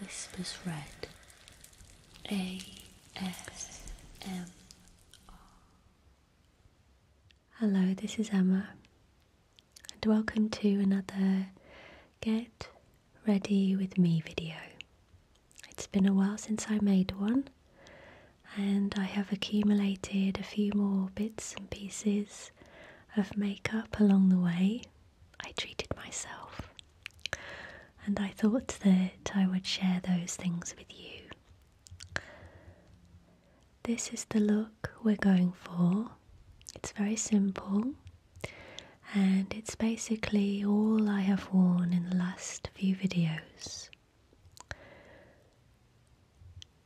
Whispers Red ASMR. Hello, this is Emma, and welcome to another Get Ready With Me video. It's been a while since I made one, and I have accumulated a few more bits and pieces of makeup along the way. I treated myself, and I thought that I would share those things with you. This is the look we're going for. It's very simple, and it's basically all I have worn in the last few videos.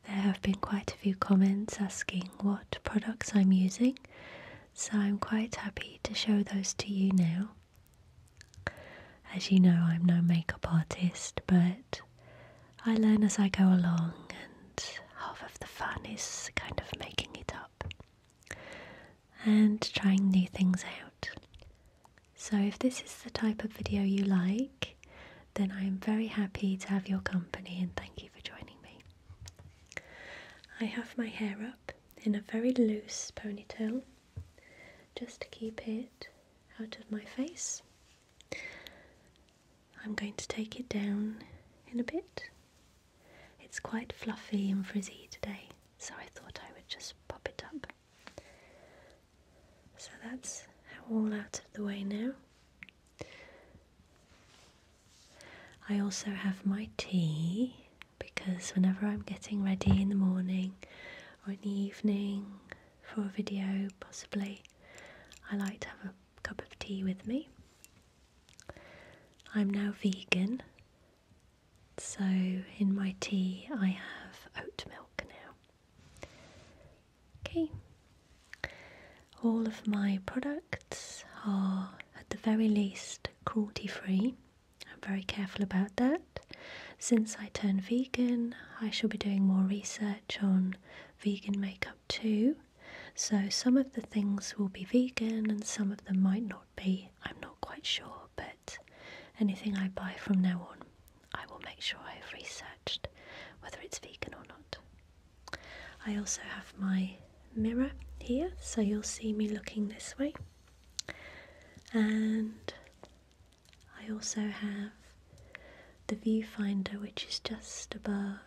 There have been quite a few comments asking what products I'm using so I'm quite happy to show those to you now. As you know, I'm no makeup artist, but I learn as I go along, and half of the fun is kind of making it up and trying new things out. So, if this is the type of video you like, then I am very happy to have your company and thank you for joining me. I have my hair up in a very loose ponytail just to keep it out of my face. I'm going to take it down in a bit. It's quite fluffy and frizzy today, so I thought I would just pop it up. So that's all out of the way now. I also have my tea because whenever I'm getting ready in the morning or in the evening for a video, possibly, I like to have a cup of tea with me. I'm now vegan, so in my tea I have oat milk now. Okay, all of my products are at the very least cruelty free. I'm very careful about that. Since I turned vegan, I shall be doing more research on vegan makeup too. So some of the things will be vegan and some of them might not be. I'm not quite sure, but anything I buy from now on, I will make sure I have researched whether it's vegan or not. I also have my mirror here so you'll see me looking this way and I also have the viewfinder which is just above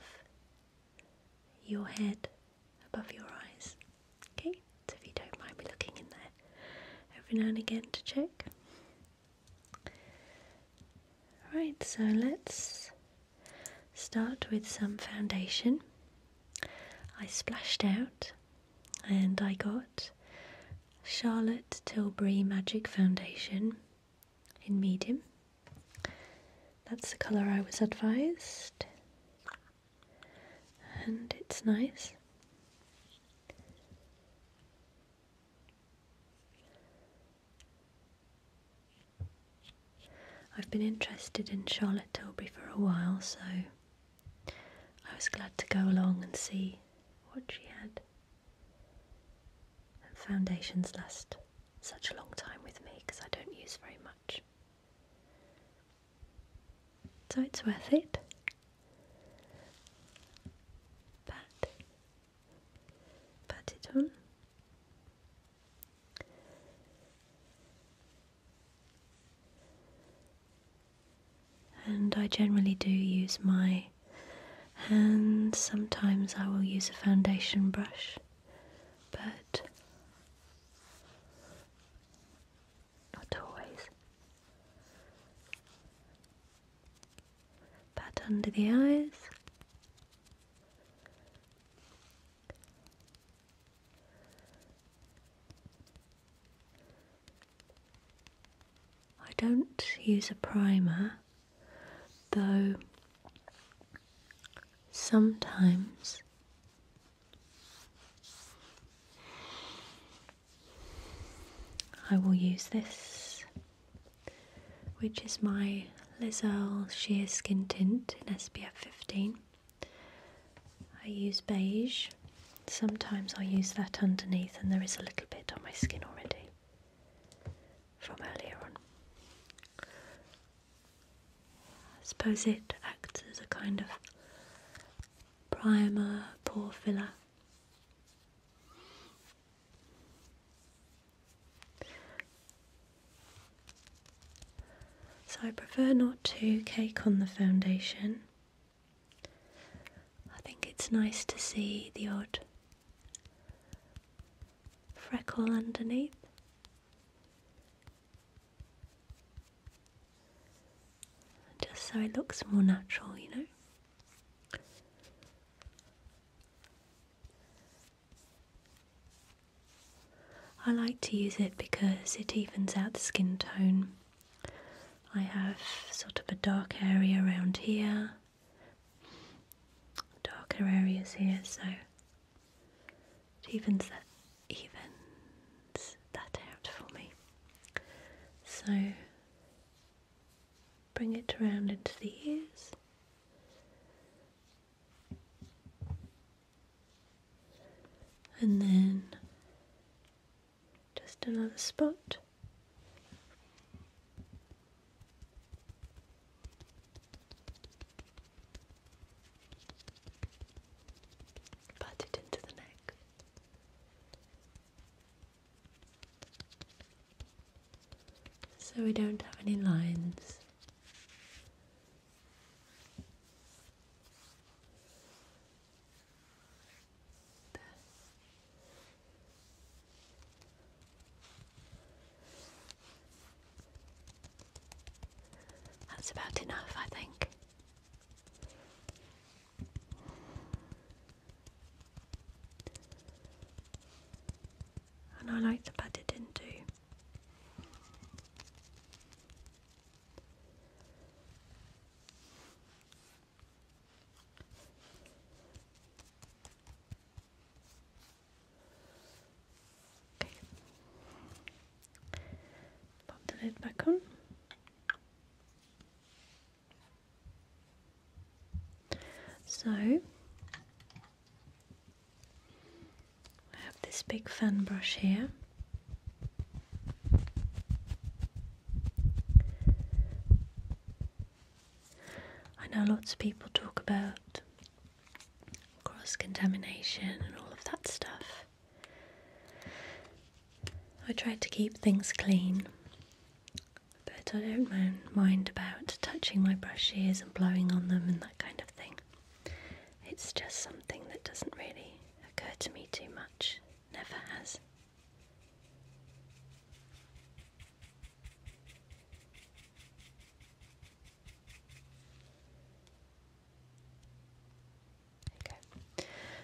your head above your eyes okay so if you don't mind me looking in there every now and again to check right so let's Start with some foundation. I splashed out and I got Charlotte Tilbury Magic Foundation in medium. That's the colour I was advised, and it's nice. I've been interested in Charlotte Tilbury for a while, so I was glad to go along and see what she had. And foundations last such a long time with me because I don't use very much. So it's worth it. Pat. Pat it on. And I generally do use my hands, sometimes I will use a foundation brush, but not always. Pat under the eyes. I don't use a primer, though sometimes I will use this, which is my Lizelle Sheer Skin Tint in SPF 15. I use beige. Sometimes I use that underneath, and there is a little bit on my skin already from earlier on. I suppose it acts as a kind of primer, pore filler. So I prefer not to cake on the foundation. I think it's nice to see the odd freckle underneath. Just so it looks more natural, you know. I like to use it because it evens out the skin tone. I have sort of a dark area around here, darker areas here, so it evens that even that out for me. So bring it around into the ears and then just another spot. Pat it into the neck. So we don't have any lines that's about enough, I think. And I like to put it into Okay. Pop the lid back on. So I have this big fan brush here. I know lots of people talk about cross contamination and all of that stuff. I try to keep things clean, but I don't mind, about touching my brushes and blowing on them and that kind of thing. It's just something that doesn't really Occurred to me too much, never has.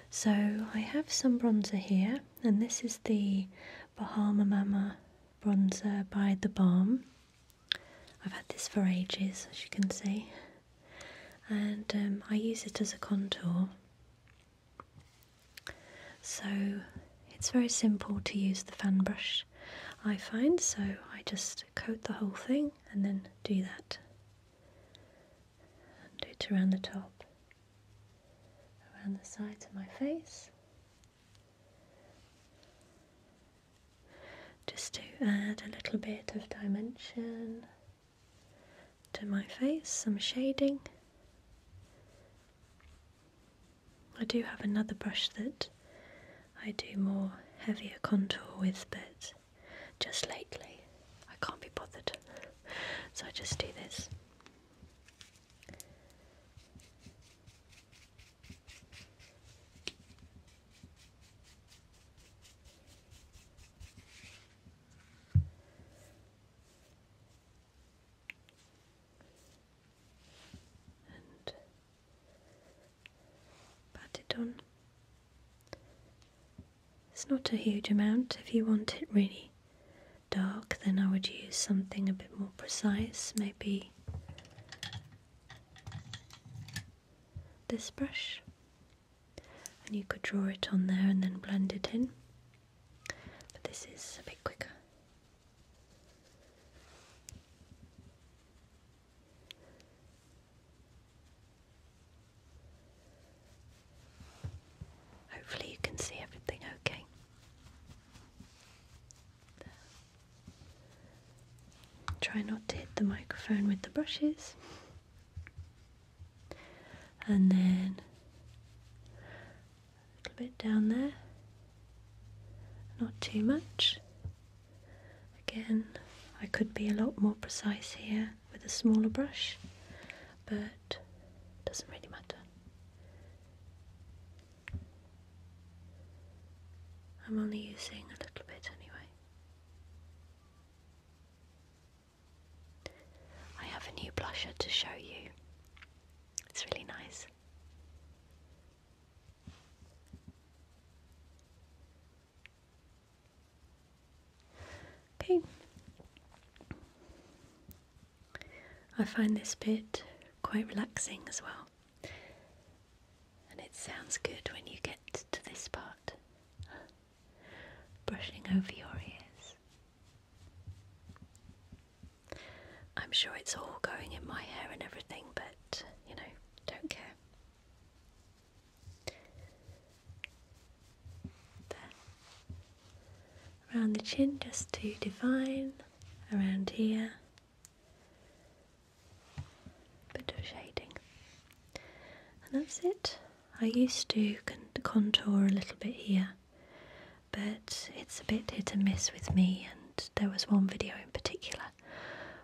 So I have some bronzer here, and this is the Bahama Mama bronzer by The Balm. I've had this for ages, as you can see and um, I use it as a contour. So it's very simple to use the fan brush, I find, so I just coat the whole thing and then do that. do it around the top, around the sides of my face. Just to add a little bit of dimension to my face, some shading. I do have another brush that I do more heavier contour with, but just lately I can't be bothered, so I just do this pat it on. It's not a huge amount. If you want it really dark, then I would use something a bit more precise, maybe this brush and you could draw it on there and then blend it in but this is a bit quicker hopefully you can see everything okay Try not to hit the microphone with the brushes and then a little bit down there, not too much. Again, I could be a lot more precise here with a smaller brush, but doesn't really matter. I'm only using a little bit anyway. I have a new blusher to show you. It's really nice. Okay. I find this bit quite relaxing as well. And it sounds good when you get to this part brushing over your ears. I'm sure it's all going in my hair and everything, but you know, don't care. There. Around the chin, just to define, around here, bit of shading, and that's it. I used to contour a little bit here, but it's a bit hit and miss with me. And there was one video in particular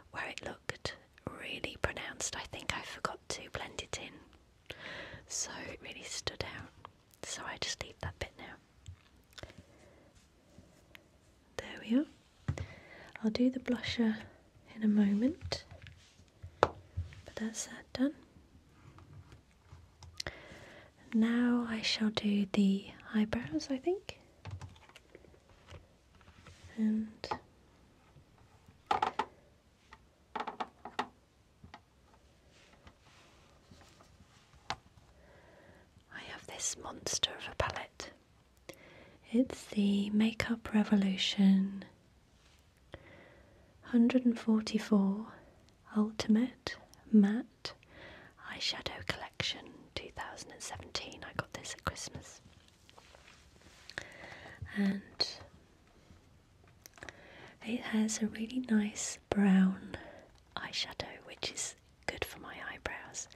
where it looked really pronounced. I think I forgot to blend it in, so it really stood out. So I just leave that bit now. There we are. I'll do the blusher in a moment. But that's that done. Now I shall do the eyebrows, I think. And I have this monster of a palette. It's the Makeup Revolution 144 Ultimate Matte Eyeshadow Collection 2017. I got this at Christmas. And it has a really nice brown eyeshadow, which is good for my eyebrows.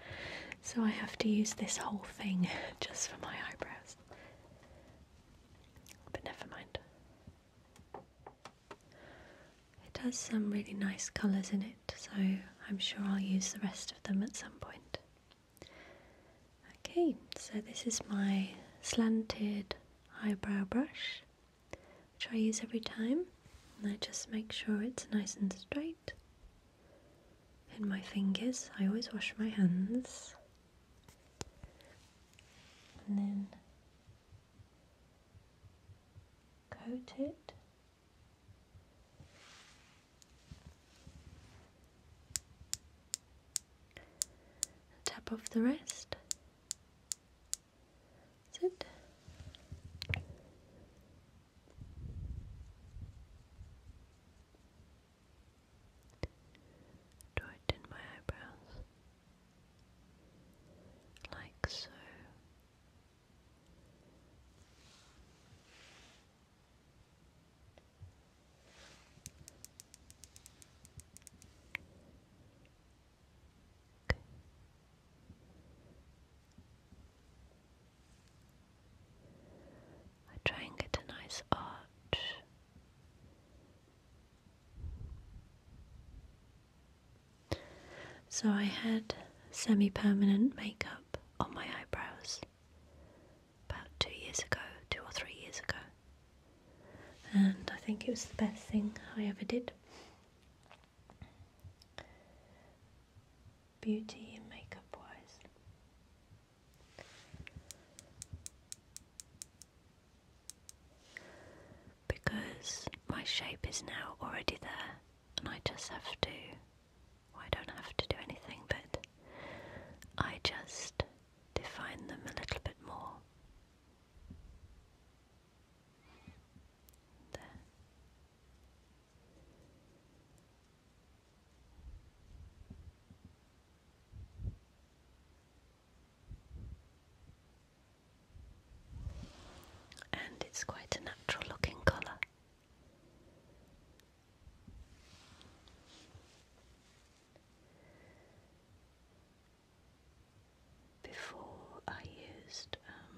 So I have to use this whole thing just for my eyebrows. But never mind. It has some really nice colours in it, so I'm sure I'll use the rest of them at some point. Okay, so this is my slanted eyebrow brush, which I use every time, and I just make sure it's nice and straight. In my fingers, I always wash my hands and then coat it tap off the rest that's it Draw my eyebrows. Like so. I try and get a nice arch so I had semi permanent makeup on my eyebrows about two years ago, two or three years ago. And I think it was the best thing I ever did. Beauty and makeup wise. Because my shape is now already there, and I just have to. I don't have to do anything, but I just define them a little bit more. There and it's quite a natural looking colour. Before I used um,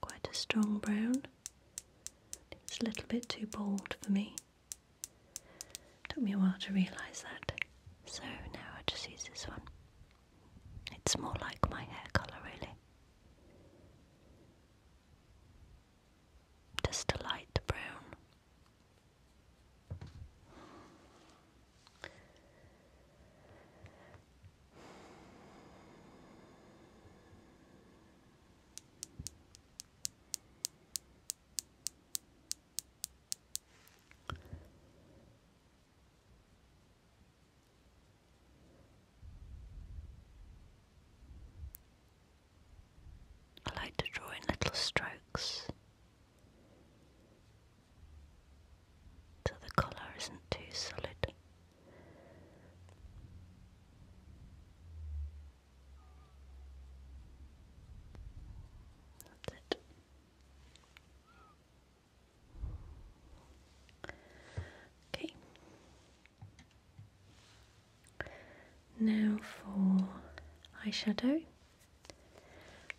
quite a strong brown. It's a little bit too bold for me. Took me a while to realise that. So now I just use this one. It's more like my hair colour, really. Just a light brown. I like to draw in little strokes so the colour isn't too solid. That's it. Okay. Now for eyeshadow.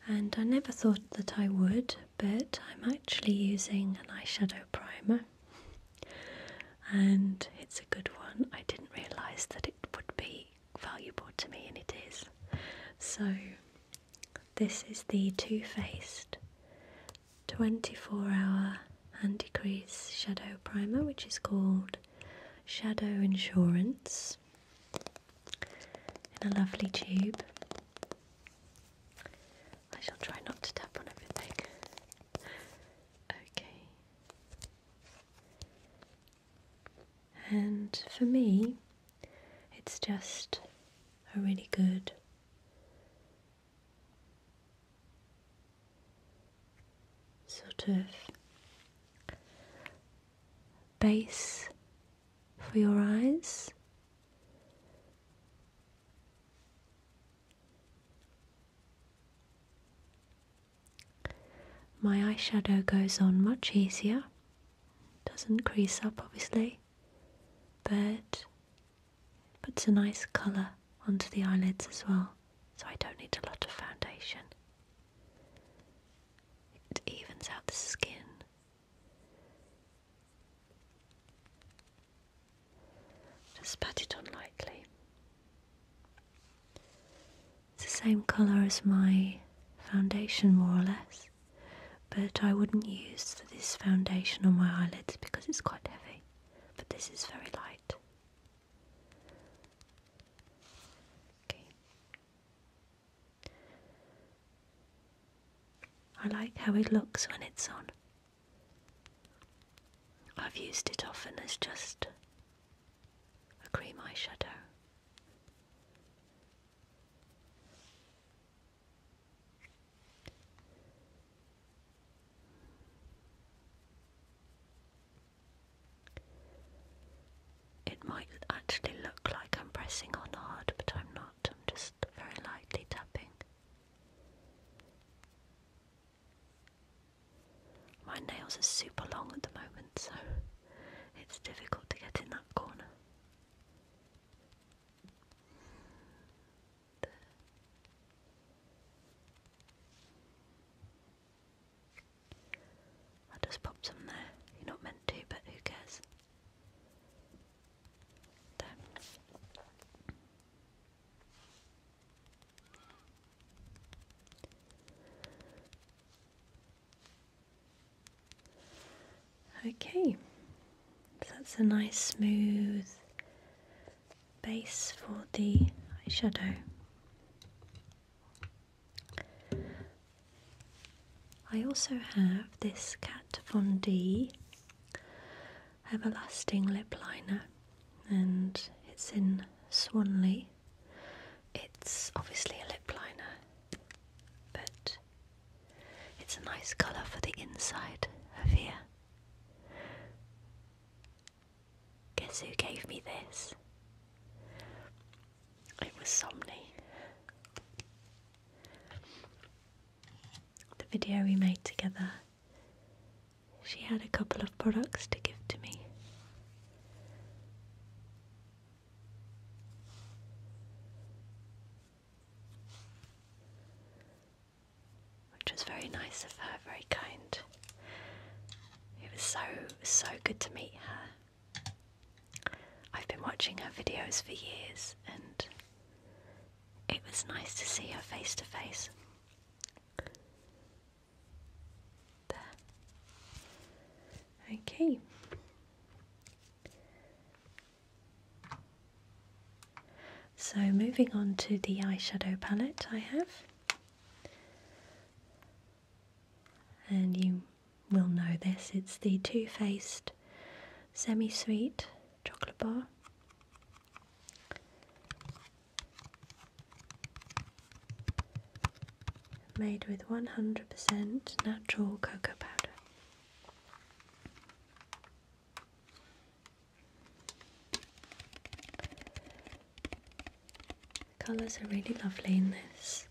And I never thought that I would, but I'm actually using an eyeshadow primer. And it's a good one. I didn't realise that it would be valuable to me, and it is. So, this is the Too Faced 24 hour anti crease shadow primer, which is called Shadow Insurance in a lovely tube. I shall try not to tap on everything. Okay. And for me, it's just a really good sort of base for your eyes. My eyeshadow goes on much easier, doesn't crease up obviously, but puts a nice colour onto the eyelids as well, so I don't need a lot of foundation. It evens out the skin. Just pat it on lightly. It's the same colour as my foundation more or less, but I wouldn't use this foundation on my eyelids because it's quite heavy, but this is very light. I like how it looks when it's on. I've used it often as just a cream eyeshadow. It might actually look like I'm pressing on hard, but I'm not. I'm just very lightly tapping. My nails are super long at the moment, so it's difficult to get in that corner. I just popped some there. You're not meant to, but who cares? There. Okay, that's a nice smooth base for the eyeshadow. I also have this Kat Von D Everlasting Lip Liner and it's in Swanley it's obviously a lip liner, but it's a nice colour for the inside of here. Guess who gave me this? It was Somni. The video we made together, she had a couple of products to give to me. Which was very nice of her, very kind. It was so, so good to meet her. I've been watching her videos for years and it was nice to see her face to face. There. Okay. So moving on to the eyeshadow palette I have. And you will know this, it's the Too Faced Semi Sweet Chocolate Bar made with 100% natural cocoa powder. colours are really lovely in this.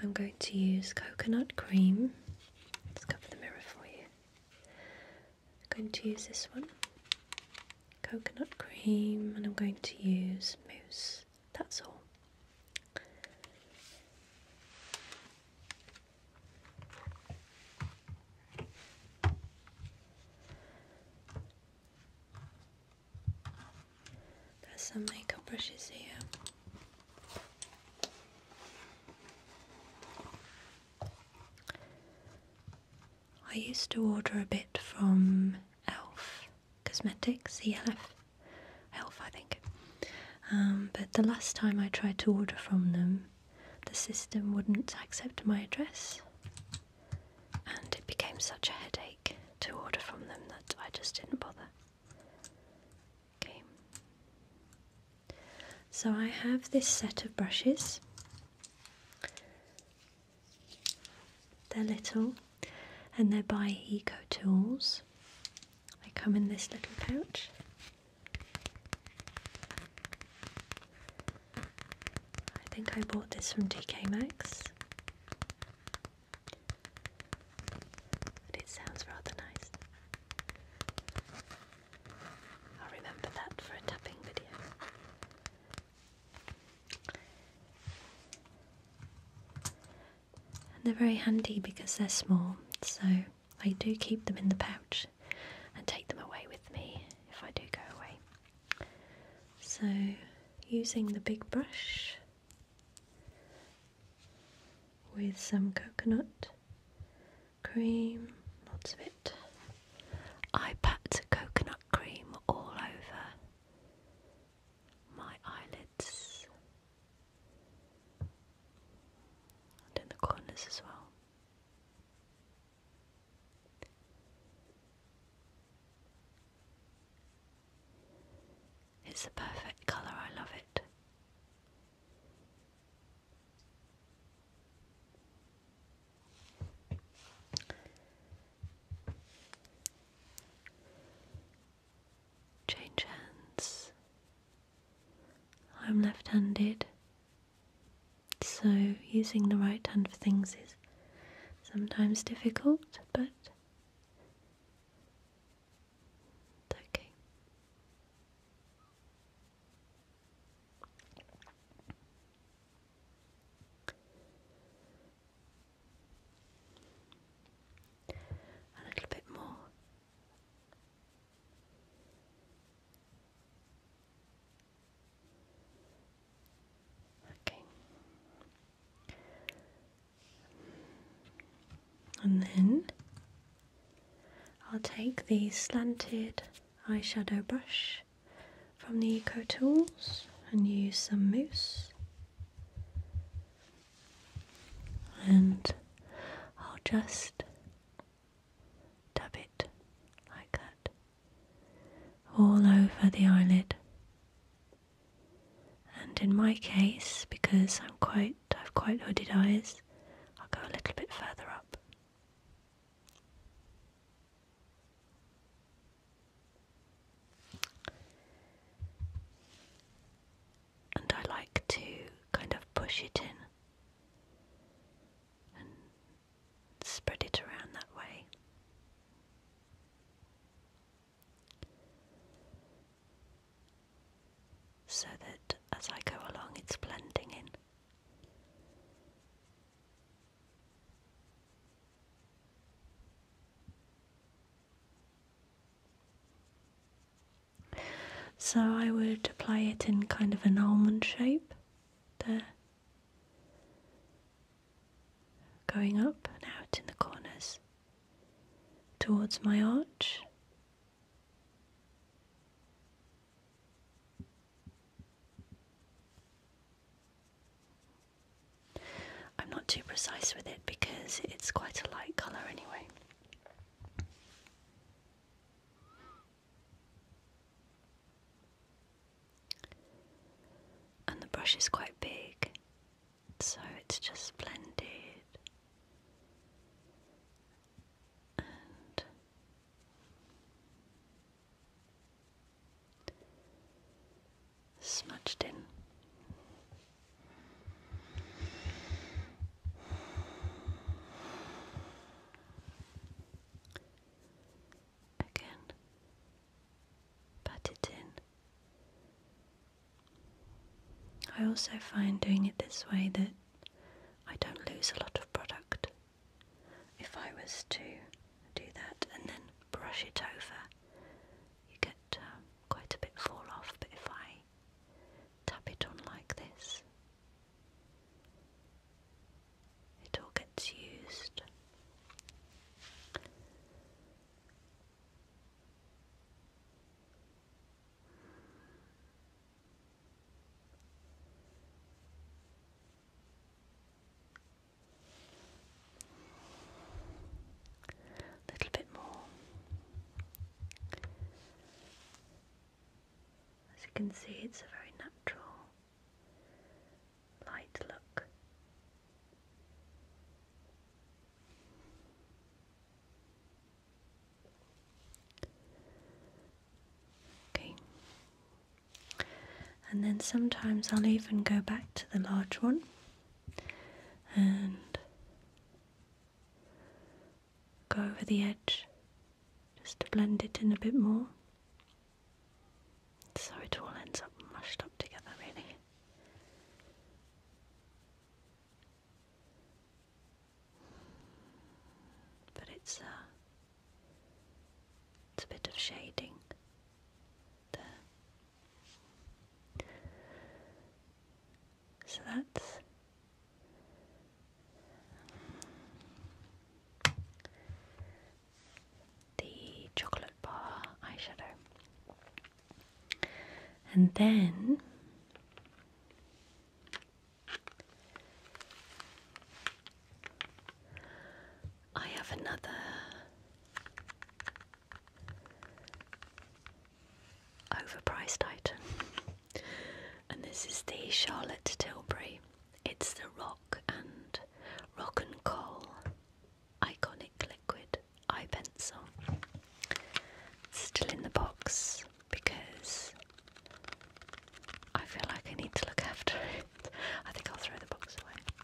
I'm going to use coconut cream. Let's cover the mirror for you. I'm going to use this one coconut cream, and I'm going to use mousse. That's all. There's some makeup brushes here. I used to order a bit from Elf Cosmetics, ELF, Elf, I think. Um, but the last time I tried to order from them, the system wouldn't accept my address, and it became such a headache to order from them that I just didn't bother. Okay. So I have this set of brushes. They're little and they're by Eco Tools. They come in this little pouch. I think I bought this from TK Maxx. But it sounds rather nice. I'll remember that for a tapping video. And they're very handy because they're small, so I do keep them in the pouch and take them away with me if I do go away. So, using the big brush with some coconut cream, lots of it. I pat coconut cream all over my eyelids and in the corners as well. It's the perfect colour, I love it. Change hands. I'm left handed, so using the right hand for things is sometimes difficult, but it's okay. A little bit more. Okay. And then I'll take the slanted eyeshadow brush from the Eco Tools and use some mousse. And I'll just dab it like that all over the eyelid. And in my case, because I'm quite I've quite hooded eyes, I'll go a little bit further up. And I like to kind of push it in and spread it around that way. So that as I go along, it's blending in. So I would apply it in kind of an almond shape there. Going up and out in the corners towards my arch. I'm not too precise with it because it's quite a light colour anyway. And the brush is quite big, so it's just blended and smudged in. Again, pat it in. I also find doing it this way that I don't lose a lot of product if I was to do that and then brush it over, you get uh, quite a bit fall off. But if I tap it on like this, it all gets used. A little bit more. As you can see, it's a very natural light look. Okay, and then sometimes I'll even go back to the large one and go over the edge just to blend it in a bit more. So it all ends up mushed up together, really. But it's uh, it's a bit of shading there. So that's the chocolate bar eyeshadow. And then I have another. Overpriced item, and this is the Charlotte Tilbury. It's the rock and rock and coal iconic liquid eye pencil. still in the box because I feel like I need to look after it. I think I'll throw the box away.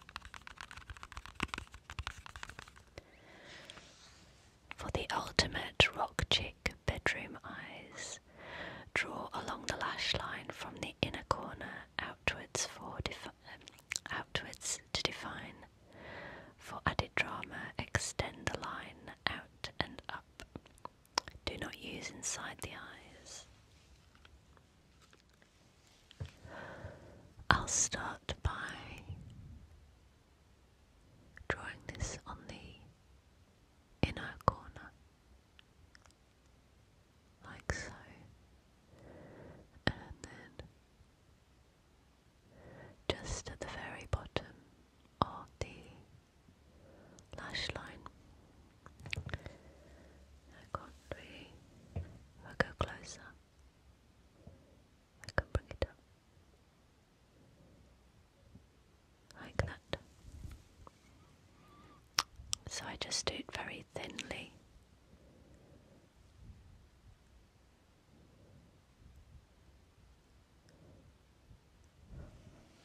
For the ultimate rock chick bedroom eyes, draw along the lash line from the inner corner outwards for um, outwards to define. For added drama, extend the line out and up. Do not use inside the eyes. I'll start by drawing this on the inner corner, like so, and then just at the very bottom of the lash line. I can't really. If I go closer, I can bring it up. Like that. So I just do it very thinly.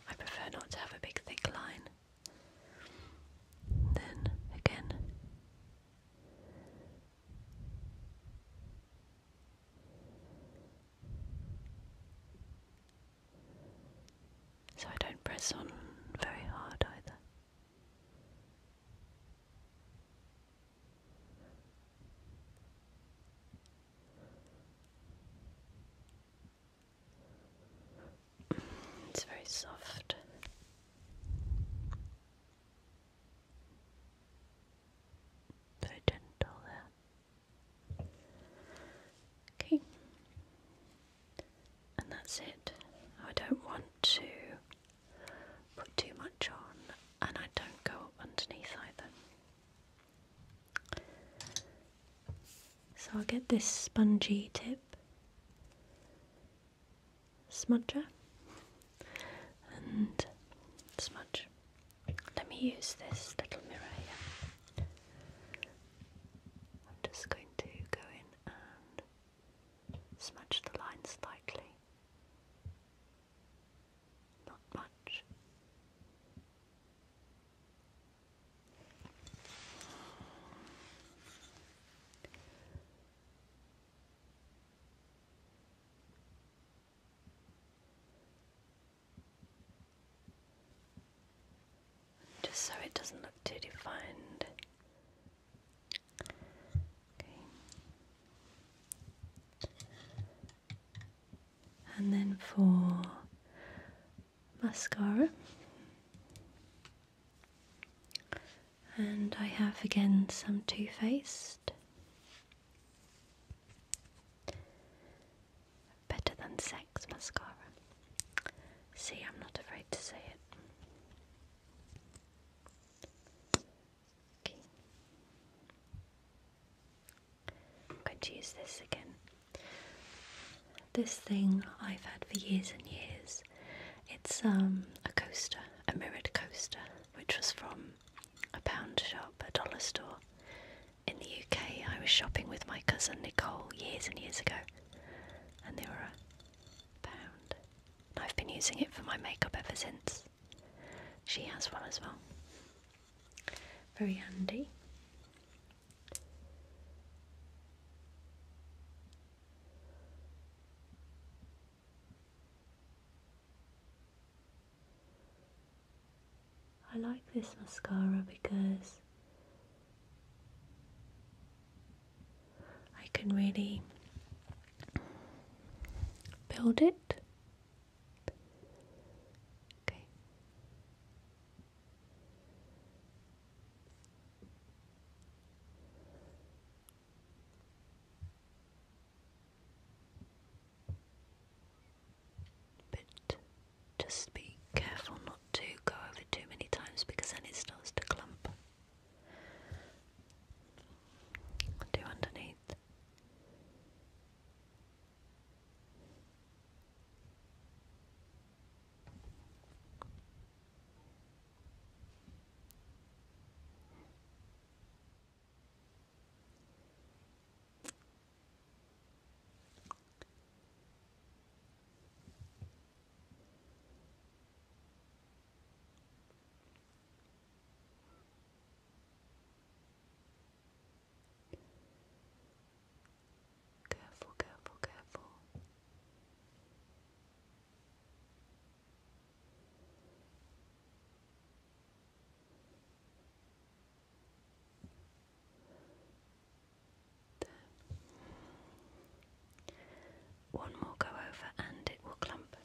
I prefer not to have a big thick line. Then again. So I don't press on very hard either. It's very soft. Very gentle there. Okay. And that's it. I don't want to put too much on and I don't go underneath either. So I'll get this spongy tip smudger and smudge. Let me use this little mirror I'm just going to go in and smudge the lines slightly. Not much. Just so it doesn't look too defined. Okay. And then for mascara, and I have again some Too Faced. Better Than Sex mascara. See, I'm not afraid to say it. I'm going to use this again. This thing I've had for years and years. It's um, a coaster, a mirrored coaster, which was from a pound shop, a dollar store. In the UK, I was shopping with my cousin Nicole years and years ago, and they were a pound. I've been using it for my makeup ever since. She has one as well. Very handy. I like this mascara because I can really build it. But just be careful not to go over too many times because then it starts to clump. do underneath. Careful, careful, careful. One more go over and it will clump.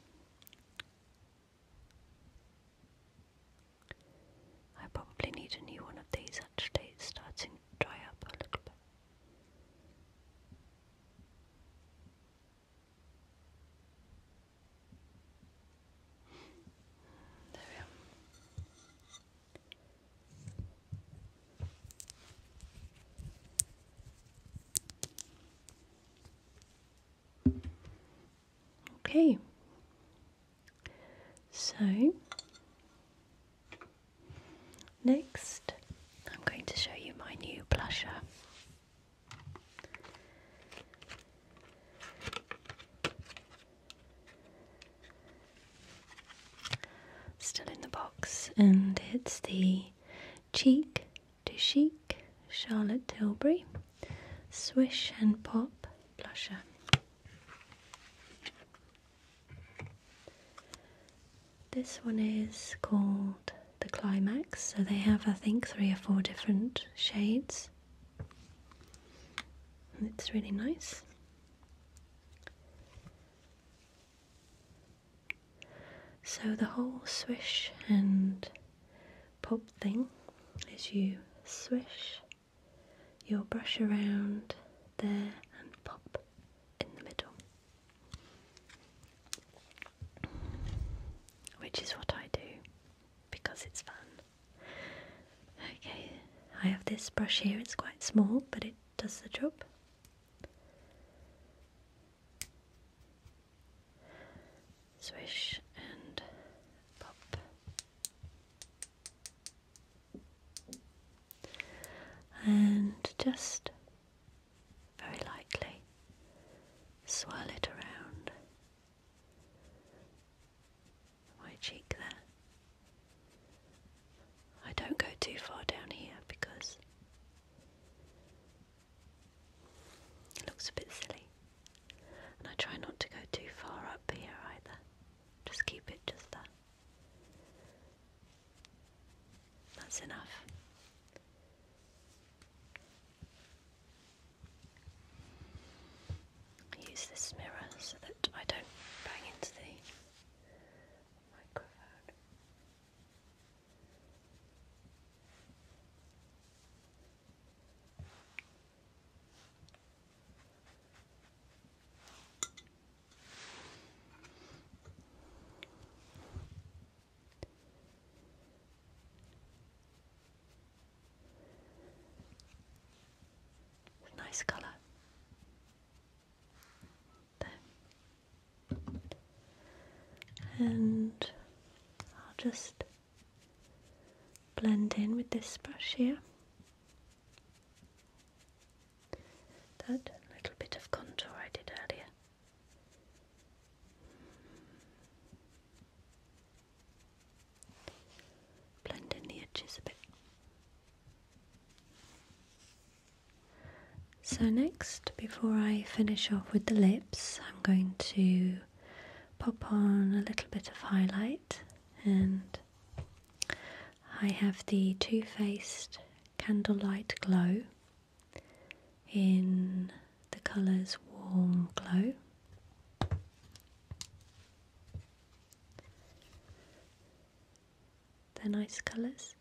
I probably need a new one of these actually, it's starting to dry up a little bit. There we are. Okay. So Next, I'm going to show you my new blusher. Still in the box, and it's the Cheek to cheek Charlotte Tilbury Swish and Pop Blusher. This one is called the Climax, so they have, I think, three or four different shades. it's really nice. So the whole swish and pop thing is you swish your brush around there and pop in the middle. Which is what I do because it's fun. Okay, I have this brush here, it's quite small, but it does the job. Swish and pop. And just very lightly, swirl it around my cheek there. I don't go too far down here because it looks a bit silly. And I try not to go too far up here either. Just keep it just that. That's enough. use this mirror so that I don't bang into the microphone. Nice colour. And I'll just blend in with this brush here. That little bit of contour I did earlier. Blend in the edges a bit. So, next, before I finish off with the lips, I'm going to pop on a little bit of highlight, and I have the Too Faced Candlelight Glow in the colours Warm Glow. They're nice colours,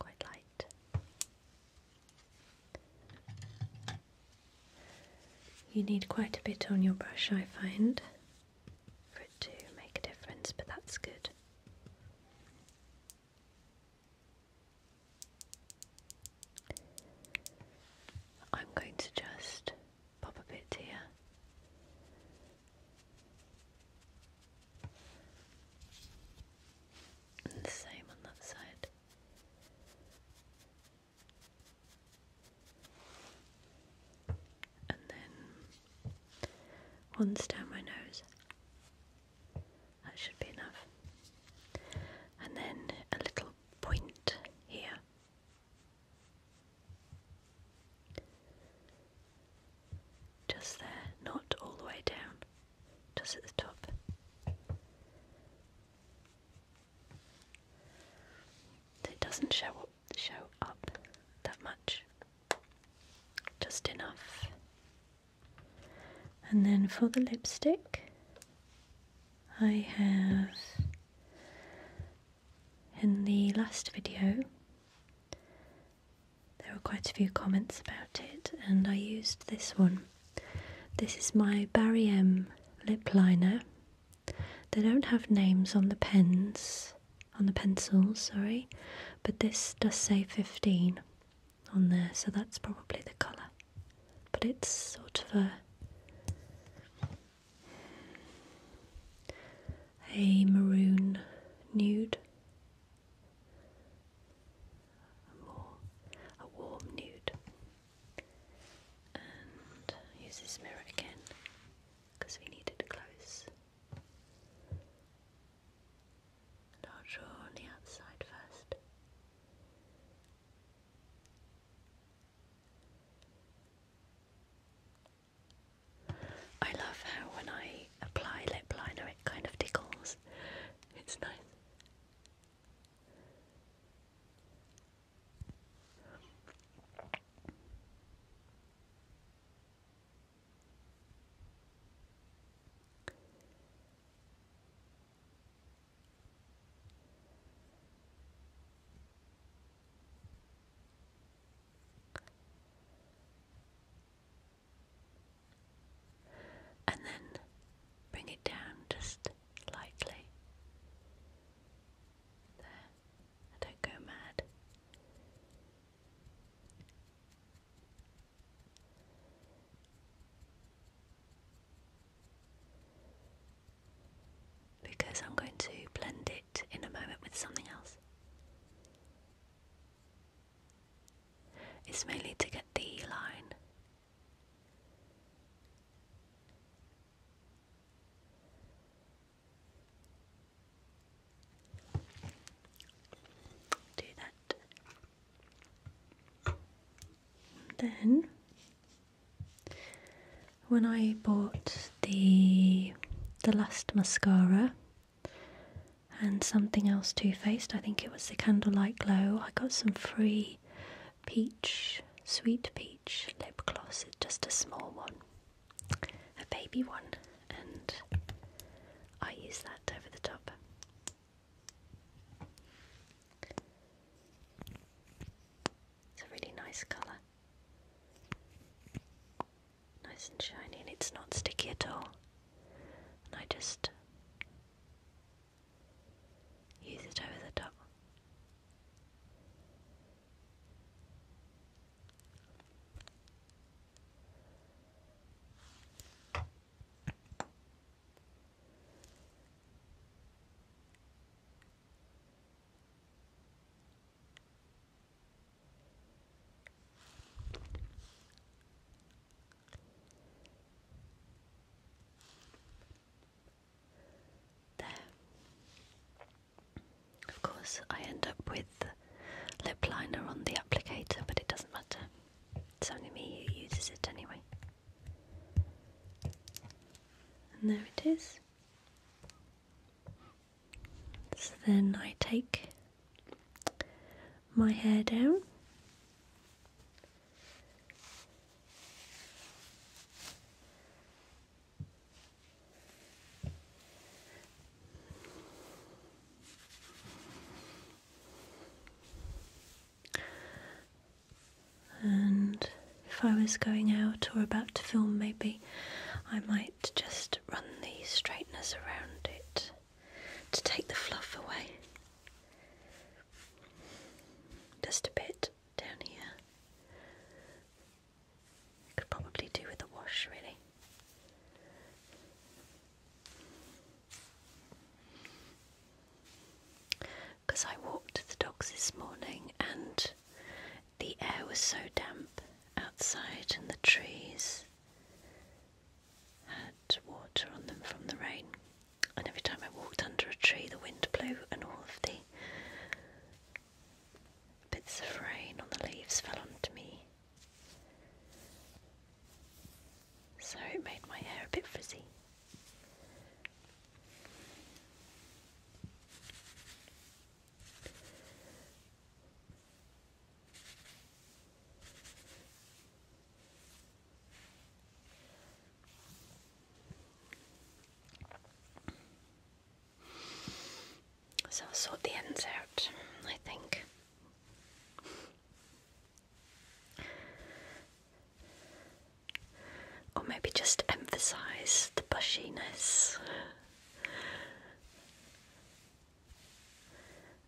quite light. You need quite a bit on your brush, I find, for it to make a difference, but that's good. I'm going to just pop a bit here. And the same on that side. And then once down my nose. That should be enough. And then a little point here. Just there, not all the way down, just at the top. It doesn't show up, show up that much. Just enough and then for the lipstick, I have in the last video there were quite a few comments about it, and I used this one. This is my Barry M lip liner. They don't have names on the pens, on the pencils, sorry, but this does say 15 on there, so that's probably the colour. But it's sort of a a maroon nude, a more a warm nude, and use this mirror again because we need it close. I'll draw on the outside first. I love how when I apply lip liner it kind of tickles. It's nice. And then bring it down just lightly. There, don't go mad because I'm going to blend it in a moment with something else. It's mainly to get the line. Do that. Then, when I bought the the last mascara and something else Too Faced, I think it was the Candlelight Glow, I got some free peach, sweet peach lip gloss. It's just a small one, a baby one, and I use that over the top. It's a really nice colour. Nice and shiny, and it's not sticky at all. And I just use it over the top. There. Of course, I end up with lip liner on the applicator, but it doesn't matter. It's only me who uses it anyway. And there it is. So then I take my hair down. And if I was going out or about to film, maybe I might just run the straighteners around it to take the fluff away. Just a bit down here. Could probably do with a wash, really. Because I walked the dogs this morning and the air was so damp outside, and the trees had water on them from the rain. And every time I walked under a tree, the wind blew, and all of the bits of rain on the leaves fell onto me so it made my hair a bit frizzy. So I'll the ends out, I think. Or maybe just emphasize the bushiness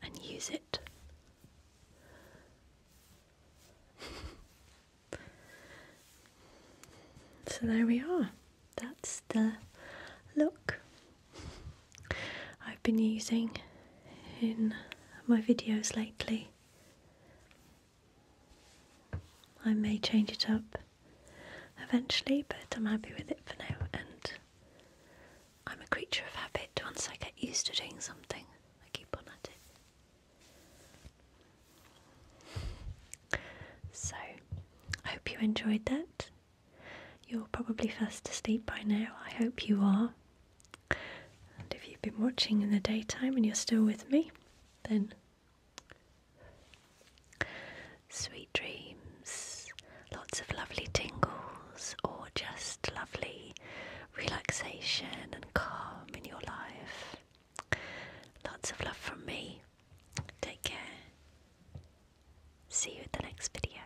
and use it. so there we are. That's the look I've been using in my videos lately. I may change it up eventually, but I'm happy with it for now. And I'm a creature of habit. Once I get used to doing something, I keep on at it. So, I hope you enjoyed that. You're probably fast asleep by now. I hope you are. And if you've been watching in the daytime and you're still with me, then sweet dreams, lots of lovely tingles, or just lovely relaxation and calm in your life. Lots of love from me. Take care. See you at the next video.